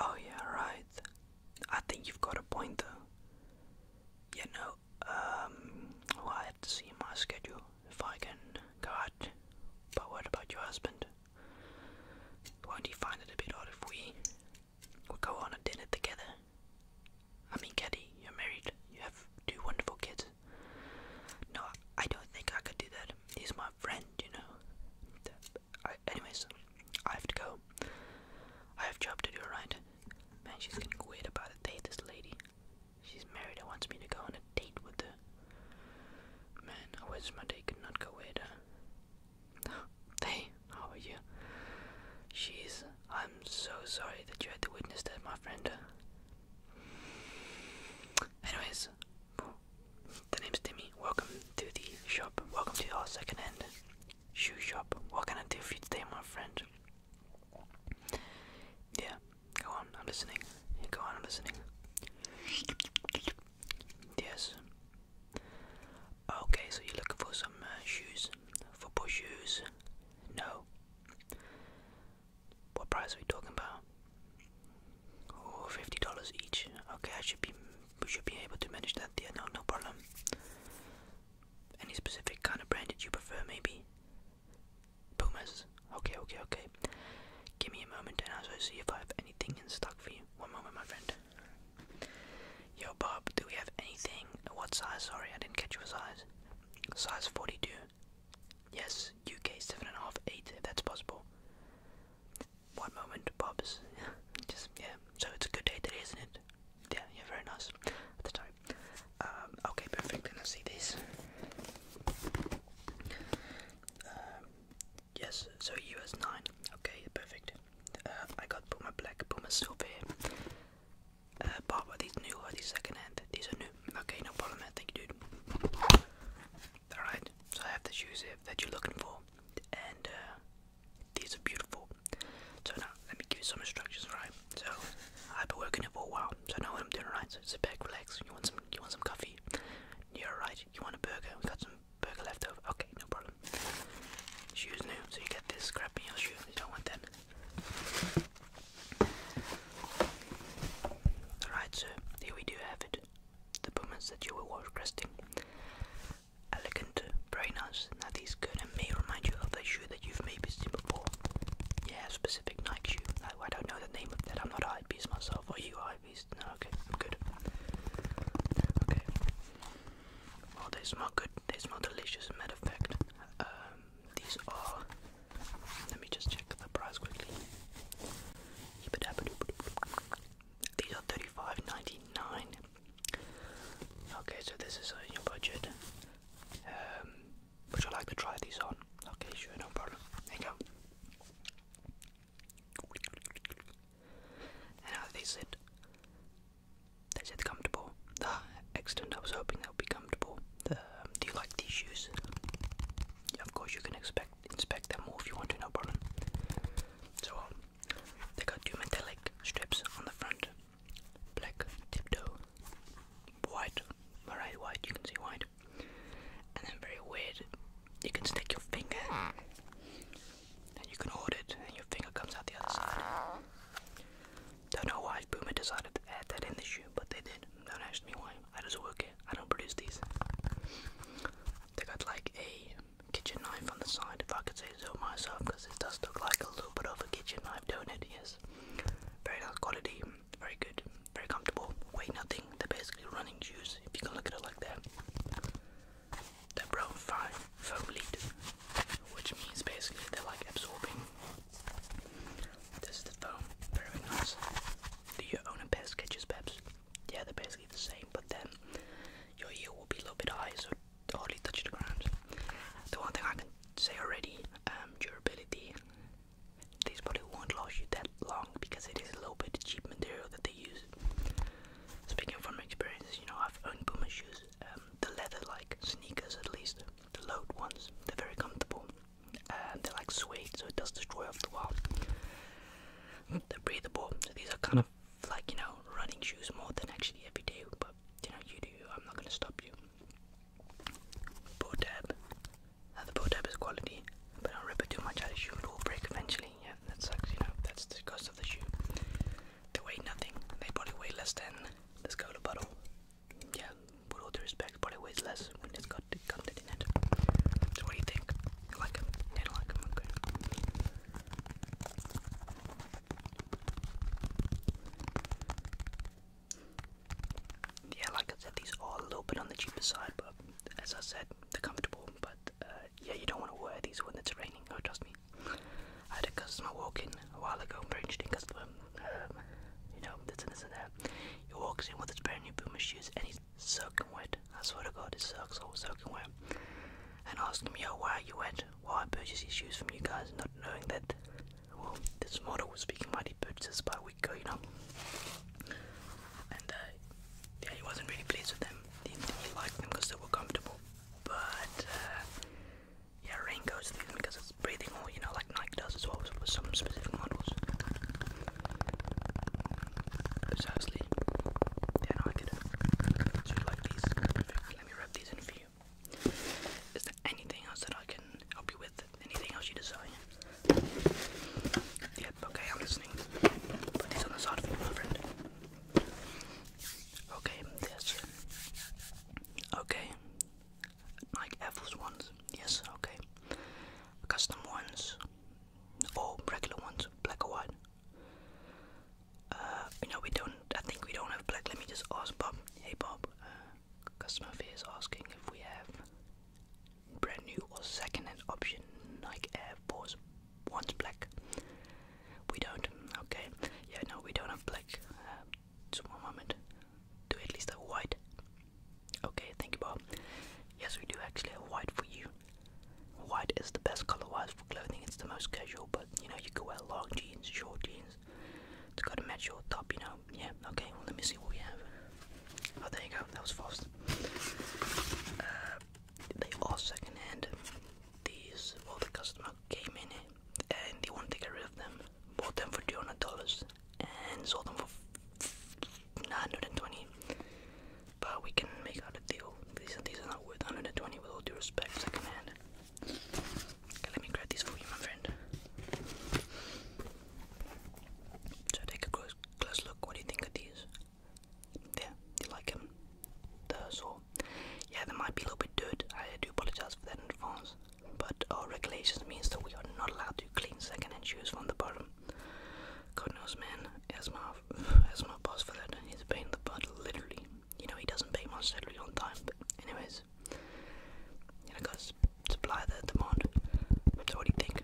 Oh, yeah, right. I think you've got a point though. You know, um, well, I have to see my schedule if I can go out. But what about your husband? Won't he find it a bit odd if we go on a dinner together? I mean, Caddy, you're married. You have two wonderful kids. No, I don't think I could do that. He's my friend, you know. I, anyways, I have to go. I have job to do, right? Man, she's getting weird about a date, this lady. She's married and wants me to go on a date with her. Man, I wish my day could not go weirder. Hey, how are you? Jeez, I'm so sorry that you had to witness that, my friend. Anyways, is. The name's Timmy. Welcome to the shop. Welcome to our second-hand shoe shop. What can I do for you today, my friend? Yeah, go on. I'm listening. Go on. I'm listening. Yes. Okay, so you're looking for some uh, shoes? Football shoes? No. What price are we talking about? Oh, fifty dollars each. Okay, I should be we should be able to manage that. Yeah, no, no problem. Any specific kind of brand that you prefer, maybe? Pumas. Okay, okay, okay. Give me a moment and I'll see if I have anything in stock for you. One moment, my friend. Yo, Bob, do we have anything? What size? Sorry, I didn't catch your size. Size 42. Yes, UK 7.5, 8, if that's possible. One moment, Bob's. Just, yeah. So it's a good day today, isn't it? Yeah, yeah, very nice at the time. Um, okay, perfect. And I see this. Um, yes, so US 9. Okay, perfect. Uh, I got put my Black, Puma Silver. Uh, Bob, are these new? Are these second hand? These are new. Okay, no problem, Thank you, dude. Alright, so I have the shoes here that you're looking for, and uh, these are beautiful. So now, let me give you some instructions, right? So, I've been working it for a while, so I know what I'm doing, right? So sit back, relax, you want some, you want some coffee? You're yeah, right, you want a burger, we got some burger left over, okay, no problem. Shoes new, so you get this crap in your shoe, you don't want that. Alright, so here we do have it the pumice that you were wash Elegant, very nice. Now these gonna may remind you of a shoe that you've maybe seen before. Yeah, specific Nike shoe. I, don't know the name of that. I'm not a hype beast myself. Are you a hype beast? No, okay, I'm good. Okay. Well, they smell good. They smell delicious. Matter of fact, um, these are let me just check the price quickly. These are thirty-five ninety-nine. Okay, so this is in your budget. Um, would you like to try these on? Okay, sure, no problem. There you go. And how do they sit? They sit comfortable. Ah, the I was hoping they would be comfortable. Um, do you like these shoes? of course, you can expect inspect them all if you want to, no problem. So um, they got two metallic strips on the front, black tiptoe, white, alright, white. You can see white, and then very weird. You can stick your finger, and you can hold it, and your finger comes out the other side. Don't know why Boomer decided to add that in the shoe, but they did. Don't ask me why. I just work I don't produce these. They got like a kitchen knife on the side, if I could say so myself, because it does look like a little bit of a kitchen knife, do it? Yes. Very nice quality, very good, very comfortable, weigh nothing. They're basically running shoes, if you can look at it like that. They're brown foam lead, which means basically they're like absorbing this is the foam. Very nice. Do you own a pair of Skechers, Peps? Yeah, they're basically the same, but then your heel will be a little bit high, so hardly touch the ground. The one thing I can say already, um, durability. These probably won't last you that long because it is a little bit cheap material that they use. Speaking from experience, you know, I've owned Puma shoes, um, the leather like sneakers at least, the load ones, they're very comfortable they're like suede, so it does destroy off the wall. They're breathable, so these are kind of like you know running shoes more than actually every day, but you know you do. I'm not gonna stop you. Bow tab. Now the bow tab is quality, but I not rip it too much out of the shoe; it will break eventually. Yeah, that sucks. You know that's the cost of the shoe. They weigh nothing. They probably weigh less than this cola bottle yeah, with all due respect, probably weighs less when it got the in it. So what do you think? You like them? Yeah, I like them, okay. Yeah, like I said, these are a little bit on the cheaper side, but as I said, they're comfortable. But uh, yeah, you don't want to wear these when it's raining. Oh, trust me. I had a customer walk in a while ago, very interesting customer. Um, you know, this and this and that. He walks in with his brand new Puma shoes and he's soaking wet. I swear to God, his socks all soaking wet. And asking me, him, yo, why are you wet? Why I purchased these shoes from you guys, not knowing that, well, this model was speaking mighty purchases by a week ago, you know. And uh, yeah, he wasn't really pleased with them. He didn't really like them because they were comfortable. But uh, yeah, Rain goes through them because breathing or you know like Nike does as well with some specific models. Precisely. Yeah, I get So you like these? Let me wrap these in for you. Is there anything else that I can help you with? Anything else you desire? Yep, okay, I'm listening. Put these on the side for you, my Okay, yes. Okay. Nike Air Force ones, yes, okay. Custom ones, or regular ones, black or white. Uh, we don't, I think we don't have black. Let me just ask Bob. Hey, Bob, uh, customer is asking if we have brand new or second hand option Nike Air Force ones black. We don't, okay. Yeah, no, we don't have black. Uh, just one moment. Do at least a white. Okay, thank you, Bob. Yes, we do actually have white for you. White is the best color wise for clothing, it's the most casual, but you know, you can wear long jeans, short jeans. It's gotta match your top, you know. Yeah, okay, well, let me see what we have. Oh, there you go, that was fast. Uh, they are secondhand. These, well, the customer came in and they wanted to get rid of them. Bought them for $200 and sold them for 920 But we can make out a deal. These, these are not worth 120 with all due respect, secondhand. Okay, let me grab these for you, my friend. So take a close, close look. What do you think of these? Yeah, you like them? The saw? Yeah, they might be a little bit dirt. I do apologize for that in advance but our regulations means that we are not allowed to clean second-hand shoes from the bottom. God knows, man, as my, as my boss for that, he's a pain in the butt, literally. You know, he doesn't pay my salary on time, but anyways. You know, guys, supply the demand. So what do you think?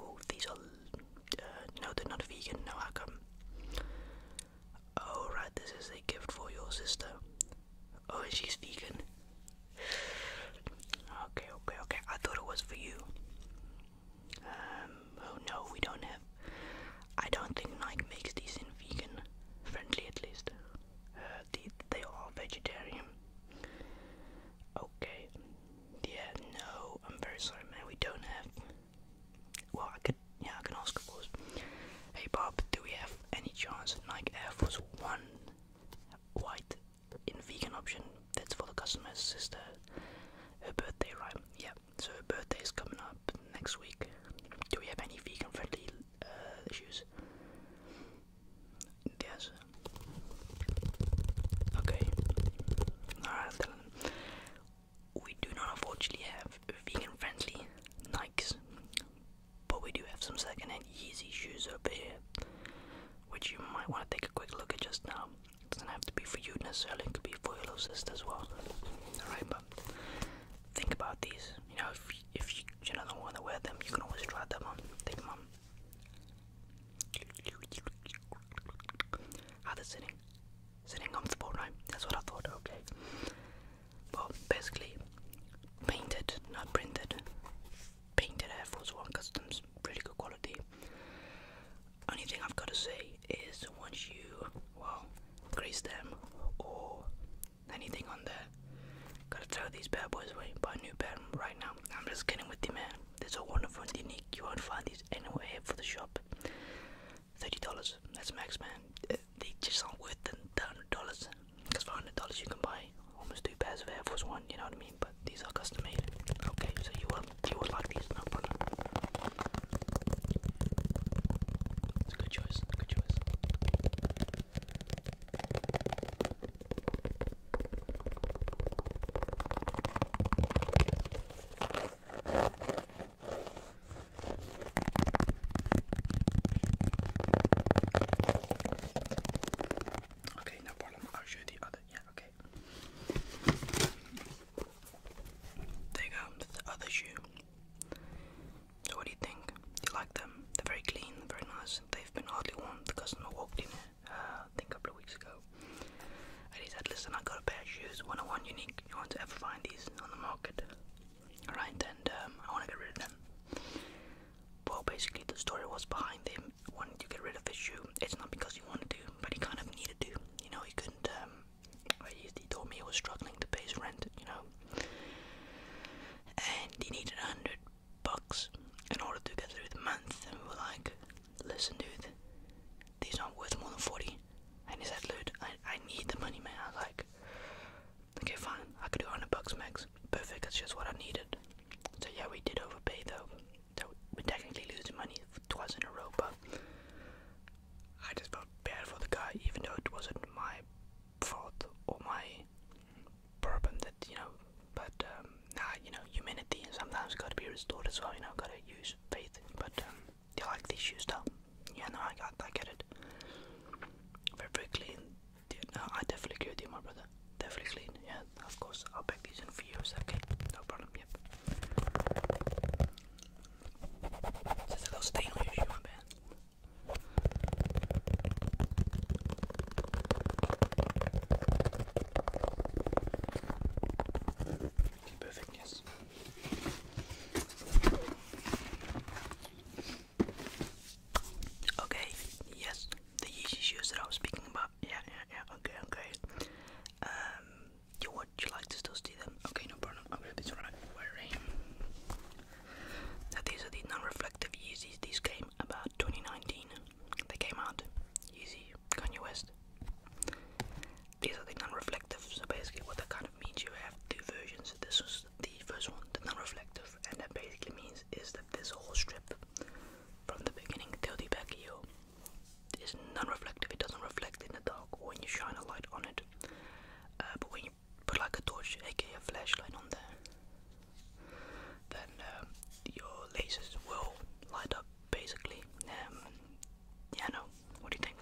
oh, these are, uh, no, they're not vegan, no, how come? Oh, right, this is a gift for your sister. Oh, she's vegan. Okay, okay, okay. I thought it was for you. Um, oh no, we don't have. I don't think Nike makes decent vegan friendly at least. Uh, they, are vegetarian. Okay. Yeah, no, I'm very sorry, man. We don't have. Well, I could. Yeah, I can ask, Hey, Bob, do we have any chance Nike Air Force 1 white in vegan option? That's for the customer's sister. Her birthday, right? Yeah, so her birthday is coming up next week. Do we have any vegan friendly uh, shoes? Yes. Okay. Alright, we do not unfortunately have vegan friendly Nikes, but we do have some secondhand Yeezy shoes up here, which you might want to take a quick look at just now. It doesn't have to be for you necessarily, it could be for your little sister as well. Alright, but think about these. You know, if, if you, you know, don't want to wear them, you can always try them on. Take them on. How they're sitting. Sitting comfortable, right? That's what I thought, okay well, basically painted, not printed. Painted Air Force One Customs, pretty good quality. Only thing I've got to say is once you, well, grease them or anything on there, gotta throw these bad boys away. Buy a new pair right now. I'm just kidding with you, man. They're wonderful unique. You won't find these anywhere for the shop. Thirty dollars. That's max, man. Uh, they just aren't worth the, hundred dollars. Because for hundred dollars you can buy almost two pairs of Air Force One. You know what I mean? But these are custom made. Okay, so you will you will like these, It's a good choice. Good choice. Okay, no problem. I'll show you the other. Yeah, okay. There you go, the other shoe. So what do you think? you like them? They're very clean, very nice. They've been hardly worn. The customer walked in, uh, a couple of weeks ago. And he said, listen, I got a pair of shoes, one on one unique. You won't ever find these on the market right? And um, I want to get rid of them. Well, basically, the story was behind him wanting to get rid of his shoe. It's not because he wanted to, but he kind of needed to. You know, he couldn't. Um, he, told me he was struggling to pay his rent. You know, and he needed a hundred bucks in order to get through the month. And we were like, "Listen, dude, these aren't worth more than forty. And he said, "Dude, I I need the money, man." I was like, Okay, fine. I could do 100 bucks max. Perfect. That's just what I needed. So yeah, we did overpay though. So we're technically losing money It wasn't a row, but I just felt bad for the guy, even though it wasn't my fault or my problem that you know. But um, you know, humanity sometimes got to be restored as well. You know, got to use faith. But um, they like these used up. Yeah, no, I got, I get it. Very, very clean. No, uh, I definitely agree with you, my brother. Definitely clean. Yeah, of course. I'll pack these in for you. Okay, no problem. Yep. There's a little stain on your shoe, my man. Okay, perfect, yes. Okay, yes, the Yeezy shoes that I was speaking about. Yeah, yeah, yeah. Okay, okay. Um, you would you like to still see them? Okay, no problem. I'm gonna be wearing. Now these are the non-reflective Yeezys. These came about 2019. They came out. Yeezy, Kanye West. These are the non-reflective. So basically, what they kind of means you have two versions. This was the first one, the non-reflective, and that basically means is that this whole strip from the beginning till the back here, non-reflective. It doesn't reflect in the dark or when you shine a light on it. Uh, but when you put like a torch, aka a flashlight, on there, then um, your lasers will light up. Basically, um, yeah. No, what do you think?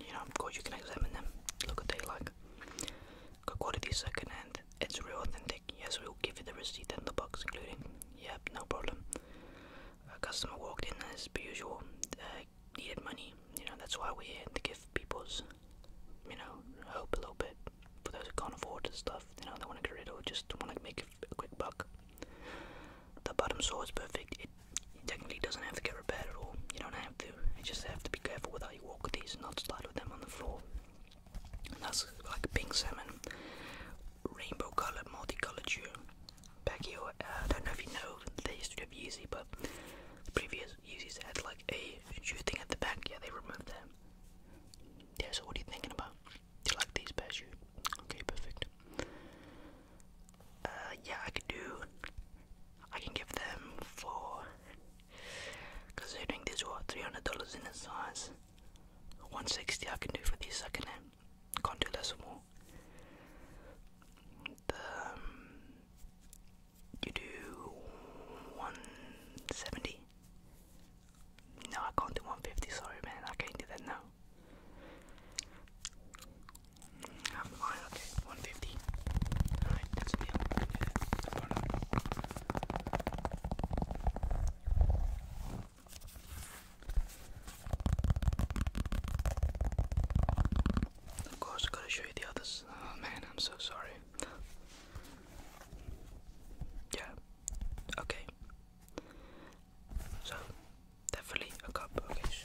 you know, of course you can examine them, look at they like. Good quality second it's real authentic, yes we will give you the receipt and the box including, yep, no problem. A customer walked in as usual, needed money, you know, that's why we're here, to give people's, you know, hope a little bit. For those who can't afford stuff, you know, they want to get rid of, just want to make a quick buck the bottom saw is perfect. It, technically doesn't have to get repaired at all. You don't have to. You just have to be careful with how you walk with these and not slide with them on the floor. that's like pink salmon, rainbow colored, multicolored shoe. Back here, uh, I don't know if you know the history of Yeezy, but previous Yeezys had like a shoe thing at the back. Yeah, they removed them. Yeah, so what are you thinking about? Do you like these pairs? okay? Perfect. Uh, yeah, I can do. I can give them for. Considering these were $300 in the size, 160 I can do for these second hand. Can't do less or more. Um, you do 170? No, I can't do 150, sorry man, I can't do that now. Um, okay, 150. Alright, that's a deal. We can do that. No Of course, gotta show you the others. Oh man, I'm so sorry. yeah, okay. So, definitely a cup. Good choice.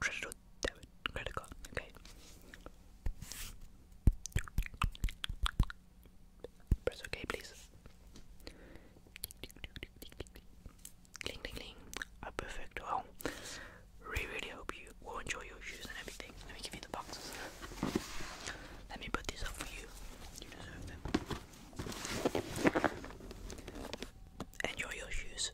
Critical, or debit okay? Press OK please. perfect. Well really really hope you will enjoy your shoes and everything. Let me give you the boxes. Let me put these up for you. You deserve them. Enjoy your shoes.